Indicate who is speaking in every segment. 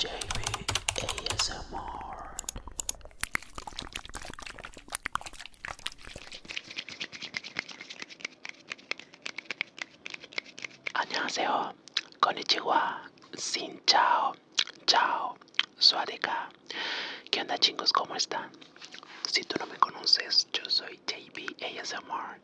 Speaker 1: JB ASMR Konnichiwa. Sin chao. Chao. Suadeka. ¿Qué onda chingos? ¿Cómo están? Si tú no me conoces, yo soy JB ASMR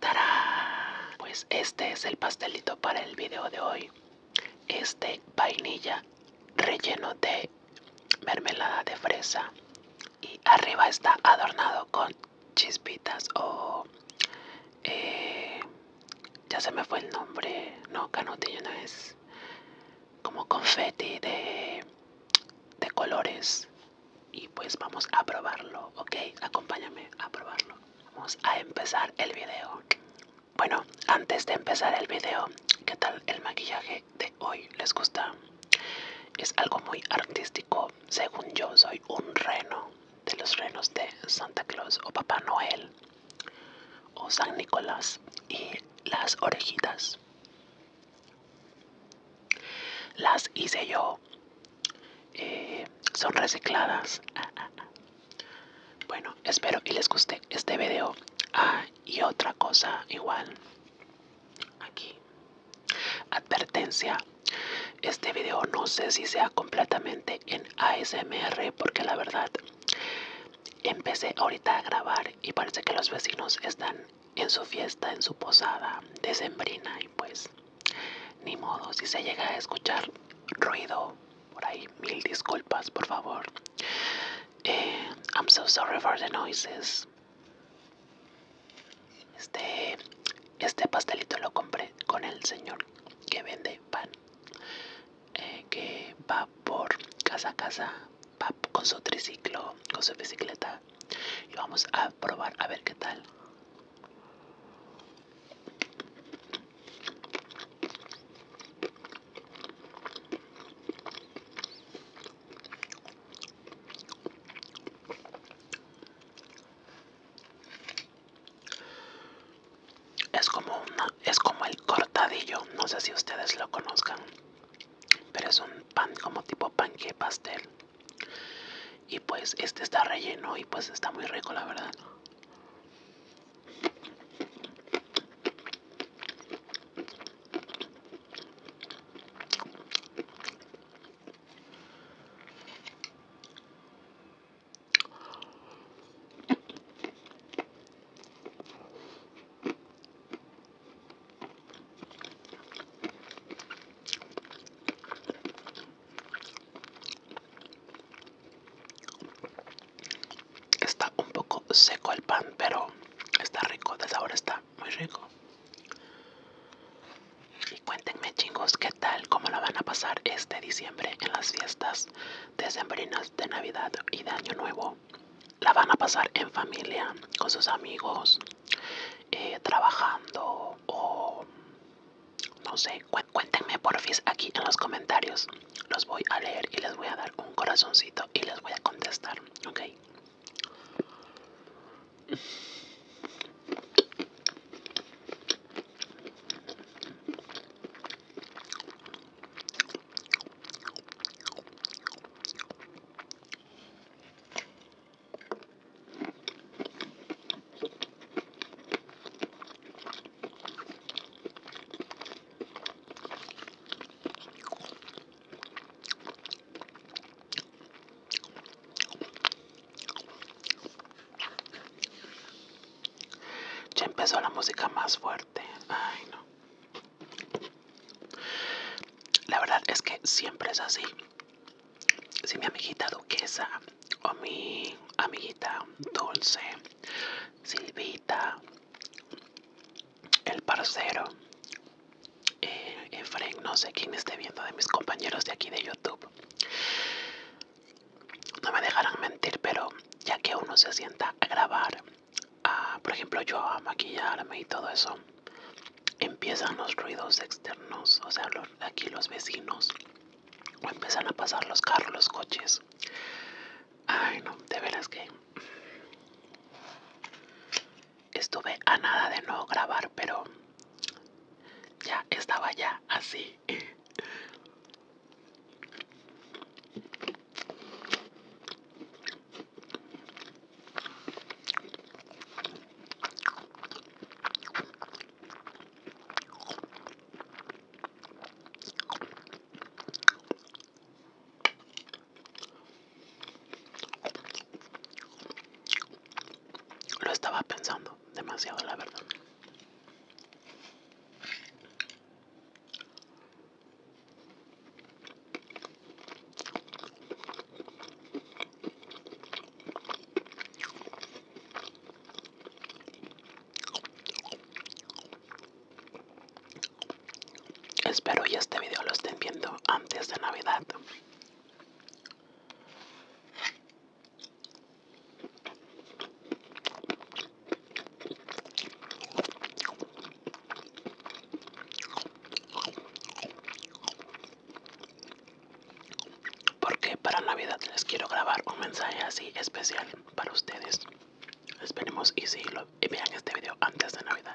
Speaker 1: ¡Tarán! Pues este es el pastelito para el video de hoy. Este vainilla relleno de mermelada de fresa y arriba está adornado con chispitas o... Eh, ya se me fue el nombre. No, canutillo no es. Como confeti de colores. Y pues vamos a probarlo, ¿ok? Acompáñame a probarlo. Vamos a empezar el video. Bueno, antes de empezar el video, ¿qué tal el maquillaje de hoy? ¿Les gusta? Es algo muy artístico. Según yo, soy un reno de los renos de Santa Claus o Papá Noel o San Nicolás y las orejitas las hice yo eh, son recicladas. Bueno, espero y les guste este video. Ah, y otra cosa igual. Aquí. Advertencia. Este video no sé si sea completamente en ASMR porque la verdad empecé ahorita a grabar y parece que los vecinos están en su fiesta, en su posada sembrina y pues ni modo, si se llega a escuchar ruido por ahí, mil disculpas, por favor. Eh, I'm so sorry for the noises. Este, este pastelito lo compré con el señor que vende pan, eh, que va por casa a casa, va con su triciclo, con su bicicleta. Y vamos a probar a ver qué tal. Es como una, es como el cortadillo, no sé si ustedes lo conozcan, pero es un pan como tipo panque pastel y pues este está relleno y pues está muy rico la verdad Está un poco seco el pan, pero está rico, de sabor está muy rico. Y cuéntenme chingos, ¿qué tal? ¿Cómo la van a pasar este diciembre en las fiestas decembrinas de Navidad y de Año Nuevo? ¿La van a pasar en familia, con sus amigos, eh, trabajando o no sé, cuéntenme cuéntenme porfis aquí en los comentarios. Los voy a leer y les voy a dar un corazoncito y les voy a contestar, ¿ok? Ya empezó la música más fuerte. Ay, no. La verdad es que siempre es así si mi amiguita duquesa o mi amiguita dulce, Silvita, el parcero, Efren, eh, eh, no sé quién esté viendo de mis compañeros de aquí de YouTube. No me dejarán mentir, pero ya que uno se sienta a grabar, por ejemplo yo a maquillarme y todo eso, empiezan los ruidos externos, o sea, aquí los vecinos empiezan a pasar los carros, los coches. Ay, no, de veras que estuve a nada de no grabar, pero ya estaba ya así. Lo estaba pensando demasiado, la verdad. Espero y este video lo estén viendo antes de Navidad porque para Navidad les quiero grabar un mensaje así especial para ustedes. Esperemos y si y vean este video antes de Navidad.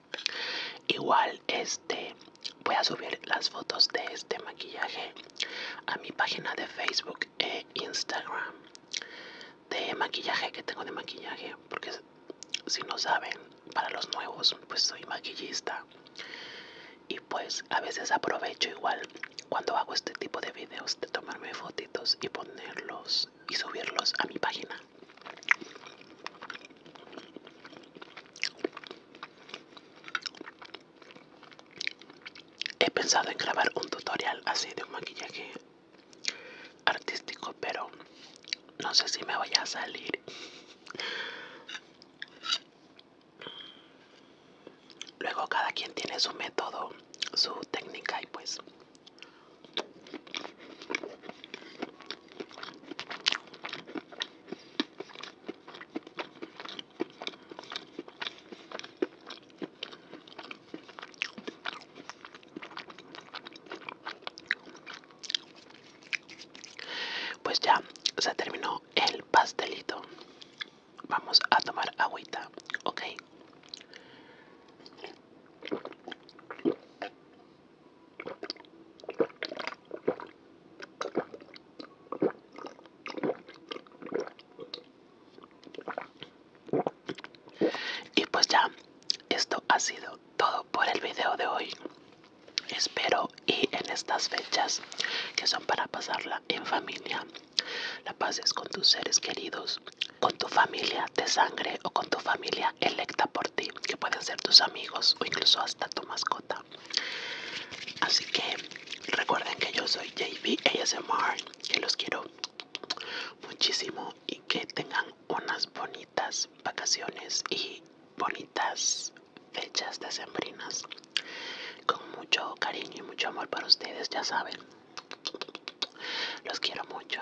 Speaker 1: Igual este voy a subir las fotos de este maquillaje a mi página de Facebook e Instagram de maquillaje que tengo de maquillaje porque si no saben para los nuevos pues soy maquillista y pues a veces aprovecho igual cuando hago este tipo de videos de tomarme fotitos y ponerlos y subirlos a mi página He pensado en grabar un tutorial así de un maquillaje artístico, pero no sé si me voy a salir. Luego cada quien tiene su método, su técnica y pues pues ya se terminó el pastelito. Vamos a tomar agüita, ¿ok? Y pues ya, esto ha sido todo por el video de hoy. Espero y en estas fechas que son para pasarla en familia, la pases con tus seres queridos, con tu familia de sangre o con tu familia electa por ti, que pueden ser tus amigos o incluso hasta tu mascota. Así que recuerden que yo soy JV ASMR, que los quiero muchísimo y que tengan unas bonitas vacaciones y bonitas fechas decembrinas. Con mucho cariño y mucho amor para ustedes, ya saben. Los quiero mucho.